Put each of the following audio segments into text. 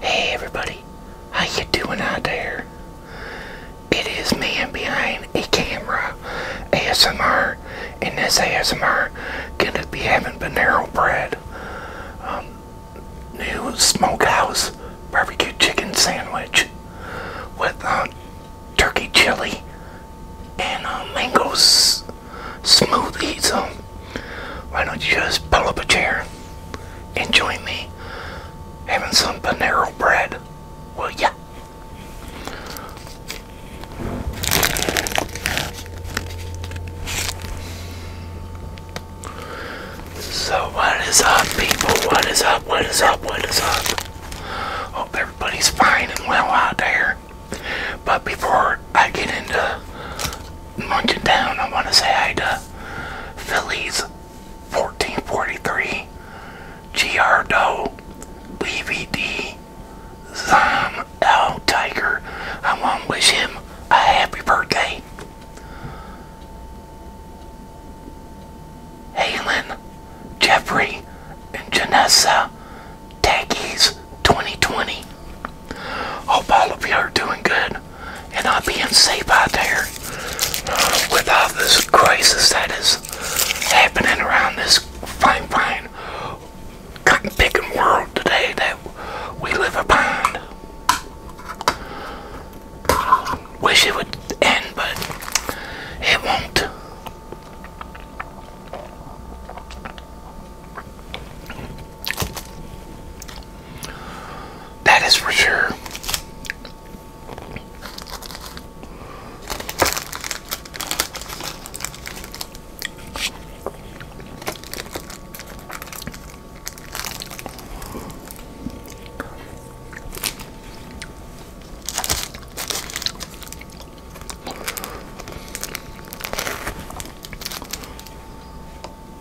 Hey everybody, how you doing out there? It is man behind a camera, ASMR, and this ASMR gonna be having Panero bread, um, new smokehouse barbecue chicken sandwich with uh, turkey chili and uh, mangoes smoothie. So um, why don't you just pull up a chair? and join me having some Panero bread, will ya? So what is up people? What is up? What is up? What is up? Hope everybody's fine and well out there. But before I get into Munching down, I want to say hi to Phillies 1443, Giardo, Levy D, Zom, L, Tiger. I want to wish him a happy birthday. Halen, Jeffrey, and Janessa Taggies 2020. Hope all of you are doing good and not being safe out there with all this crisis that is happening around this fine, fine cotton picking world today that we live upon. Wish it would end, but it won't. That is for sure.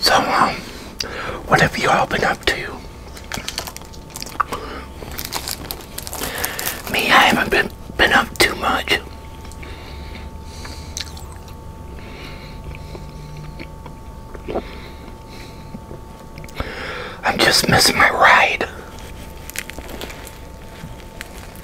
So, um, what have you all been up to? Me, I haven't been, been up too much. I'm just missing my ride.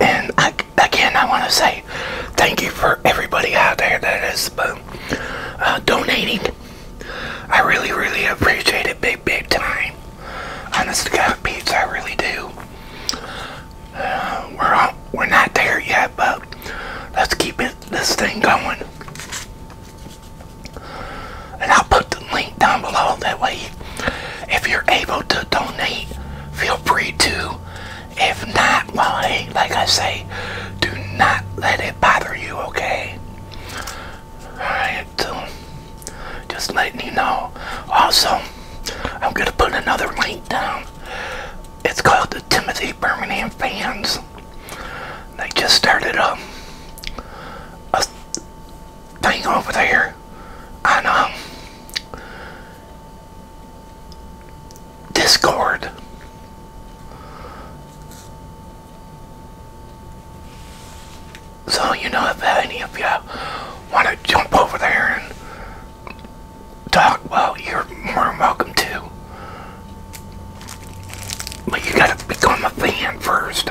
And I again, I want to say thank you for everybody out there that is uh, uh, donating. I really, really appreciate it big, big time. Honest to God, peeps, I really do. Uh, we're we're not there yet, but let's keep this thing going. And I'll put the link down below. That way, if you're able to donate, feel free to. If not, well, hey, like I say, do not let it bother you, okay? Alright, just letting you know. Also, I'm going to put another link down. It's called the Timothy Birmingham Fans. They just started a, a thing over there on um, Discord. So, you know, if any of you want to jump over there and talk, well, you're more than welcome to. But you gotta become a fan first.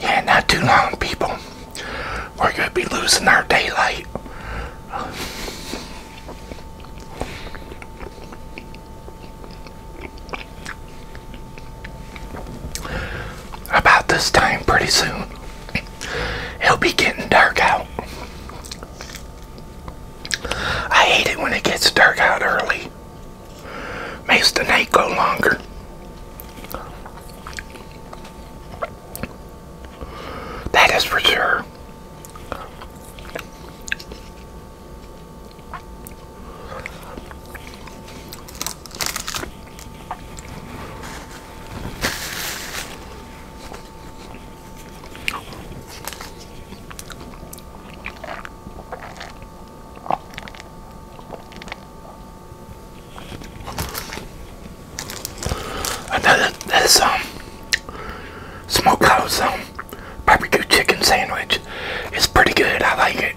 Yeah, not too long, people. We're going to be losing our daylight. About this time, pretty soon. It'll be getting dark out. I hate it when it gets dark out early. Makes the night go longer. That is for sure. Another this um smokehouse um barbecue chicken sandwich It's pretty good. I like it.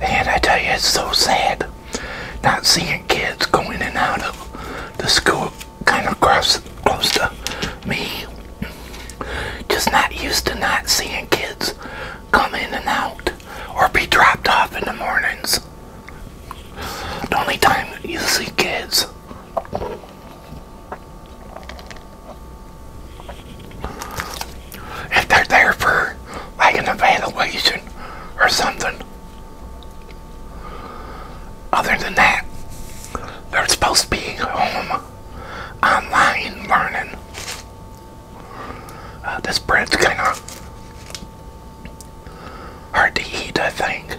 And I tell you, it's so sad not seeing kids going in and out of the school kind of close, the. to me just not used to not seeing kids come in and out or be dropped off in the mornings. The only time you see kids if they're there for like an evaluation or something. Other than that, they're supposed to be home uh, online learning. Uh, this bread's kind of hard to eat, I think.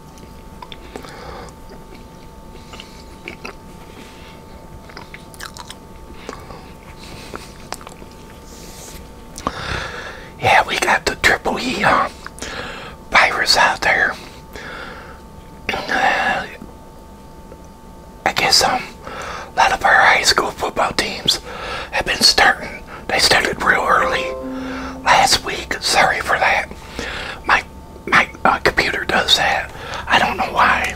Yeah, we got the triple E uh, virus out there. I guess um, a lot of our high school football teams have been starting. They started real early last week. Sorry for that. My my uh, computer does that. I don't know why.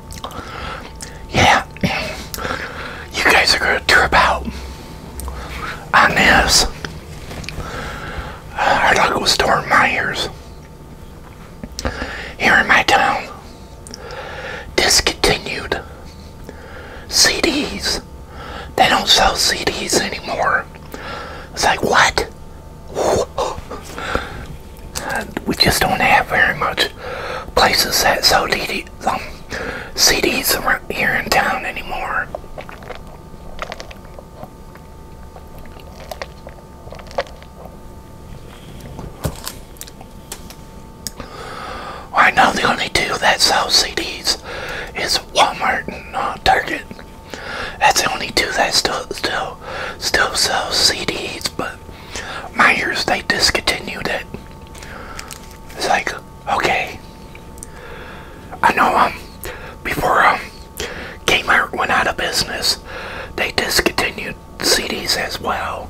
yeah, you guys are going to trip out on this. Uh, our local store, Myers, here in my town, discontinued CDs. They don't sell CDs anymore. It's like, what? we just don't have very much places that sell CDs um, CDs around here in town anymore. I know the only two that sell CDs is Walmart and uh, Target. That's the only two that still still still sell CDs, but my years, they discontinued it. It's like, okay. I know um before um Kmart went out of business, they discontinued CDs as well.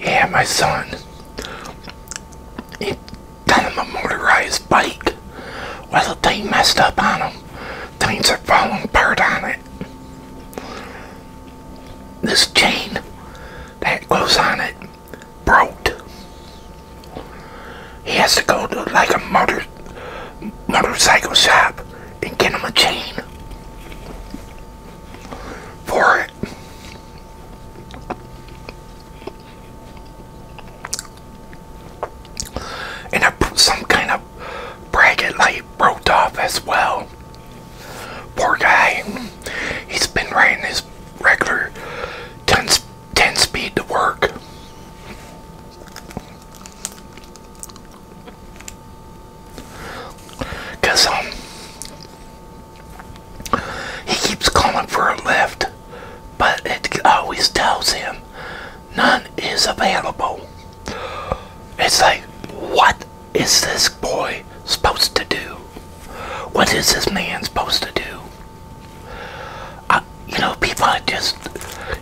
Yeah, my son. He done him a motorized bike. Well, the thing messed up on him. Things are falling apart on it. This chain that goes on it broke. He has to go to like a motor motorcycle shop and get him a chain for it. And some kind of bracket light broke off as well. Poor guy. He's been riding his regular 10 10 speed to work. um, he keeps calling for a lift, but it always tells him none is available. It's like, what is this boy supposed to do? What is this man supposed to do? you know, people are just,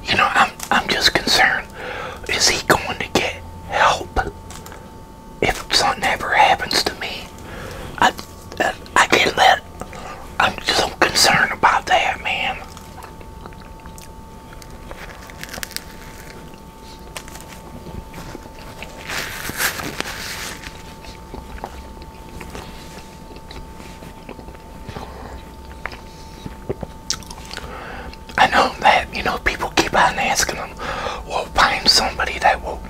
you know, I'm, I'm just concerned. Is he going to get help if something ever happens to me? I, I, I get let. I'm just so concerned about that, man. I know that you know people keep on asking them, "Well, find somebody that will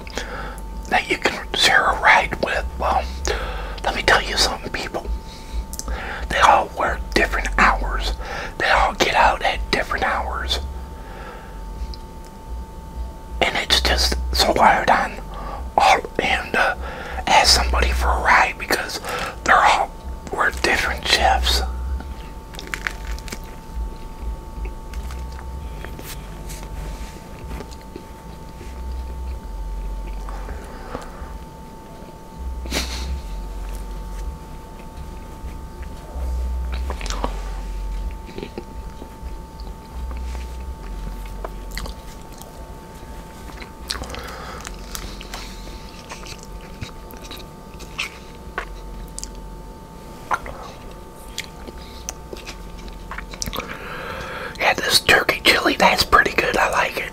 that you can share a ride with." Well, let me tell you something, people. They all work different hours. They all get out at different hours and it's just so hard on all and uh, ask somebody for a ride because they're all we different shifts. Yeah, this turkey chili, that's pretty good. I like it.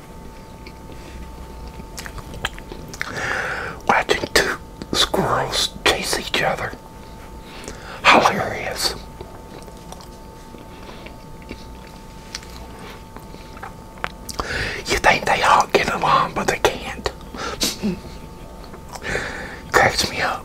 Watching two squirrels chase each other. Hilarious. You think they all get along, but they can't. Cracks me up.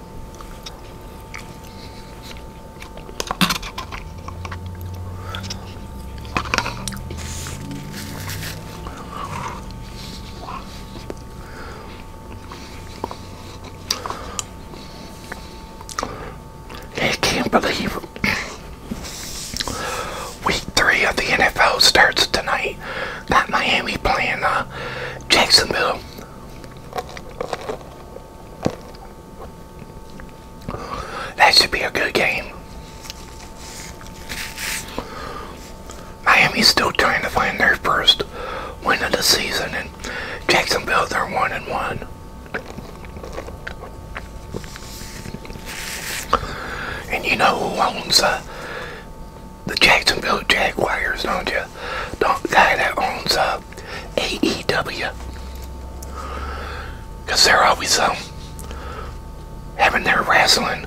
I can't believe week three of the NFL starts tonight. Got Miami playing uh, Jacksonville. That should be a good game. Miami's still trying to find their first win of the season, and Jacksonville are one and one. And you know who owns uh, the Jacksonville Jaguars, don't you? the guy that owns uh, AEW. Because they're always um, having their wrestling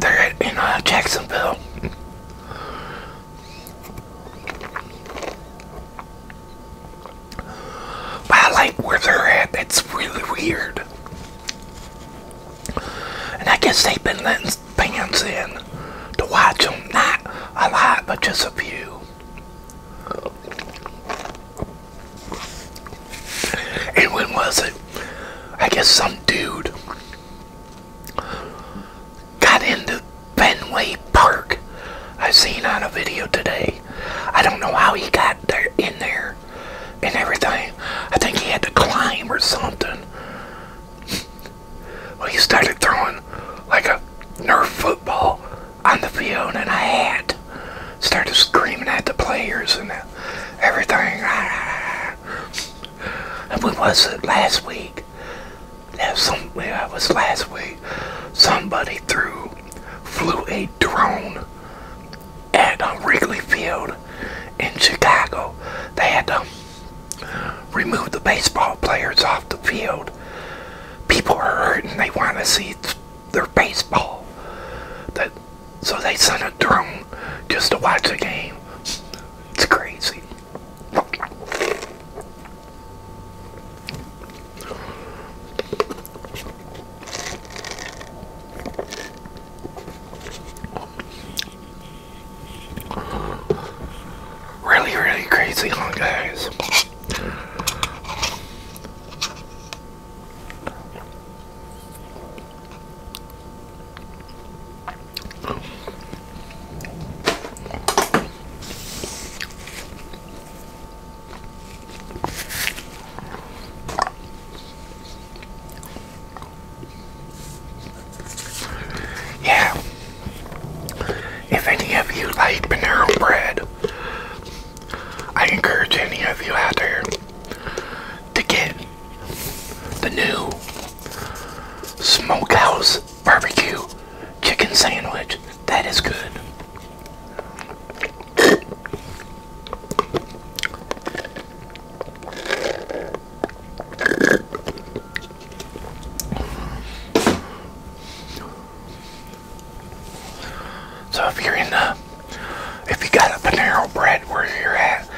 there in uh, Jacksonville. But I like where they're at. That's really weird. And I guess they've been letting his in to watch them Not a lot, but just a few. And when was it? I guess some dude got into Fenway Park. I seen on a video today. I don't know how he got there in there and everything. I think he had to climb or something. Well, he started throwing like a Nerf football on the field, and I had started screaming at the players and everything. And we was it last week? Yeah, some, yeah, was last week. Somebody threw, flew a drone at um, Wrigley Field in Chicago. They had to um, remove the baseball players off the field. People are hurt and they want to see their baseball. That, so they send a drone just to watch the game. It's crazy. Really, really crazy, huh, guys? Yeah. If any of you like Panera Bread, I encourage any of you out there to get the new Smokehouse Barbecue Chicken Sandwich. That is good. So if you're in the, if you got a Panero Bread where you're at,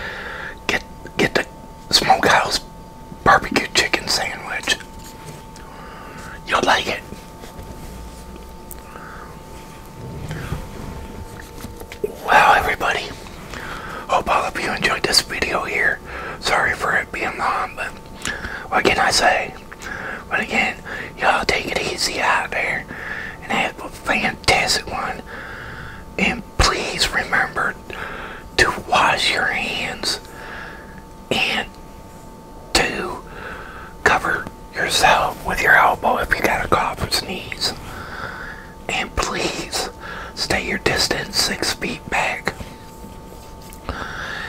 get get the Smokehouse barbecue chicken sandwich. You'll like it. Wow, everybody. Hope all of you enjoyed this video here. Sorry for it being long, but what can I say? But again, y'all take it easy out there and have a fantastic one. And please remember to wash your hands and to cover yourself with your elbow if you got a cough or sneeze and please stay your distance six feet back.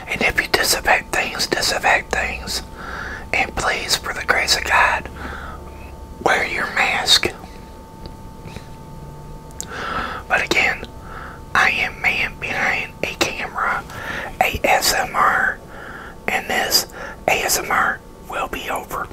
And if you disinfect things, disinfect things. And please, for the grace of God, wear your mask. But again, I am man behind a camera, ASMR, and this ASMR will be over.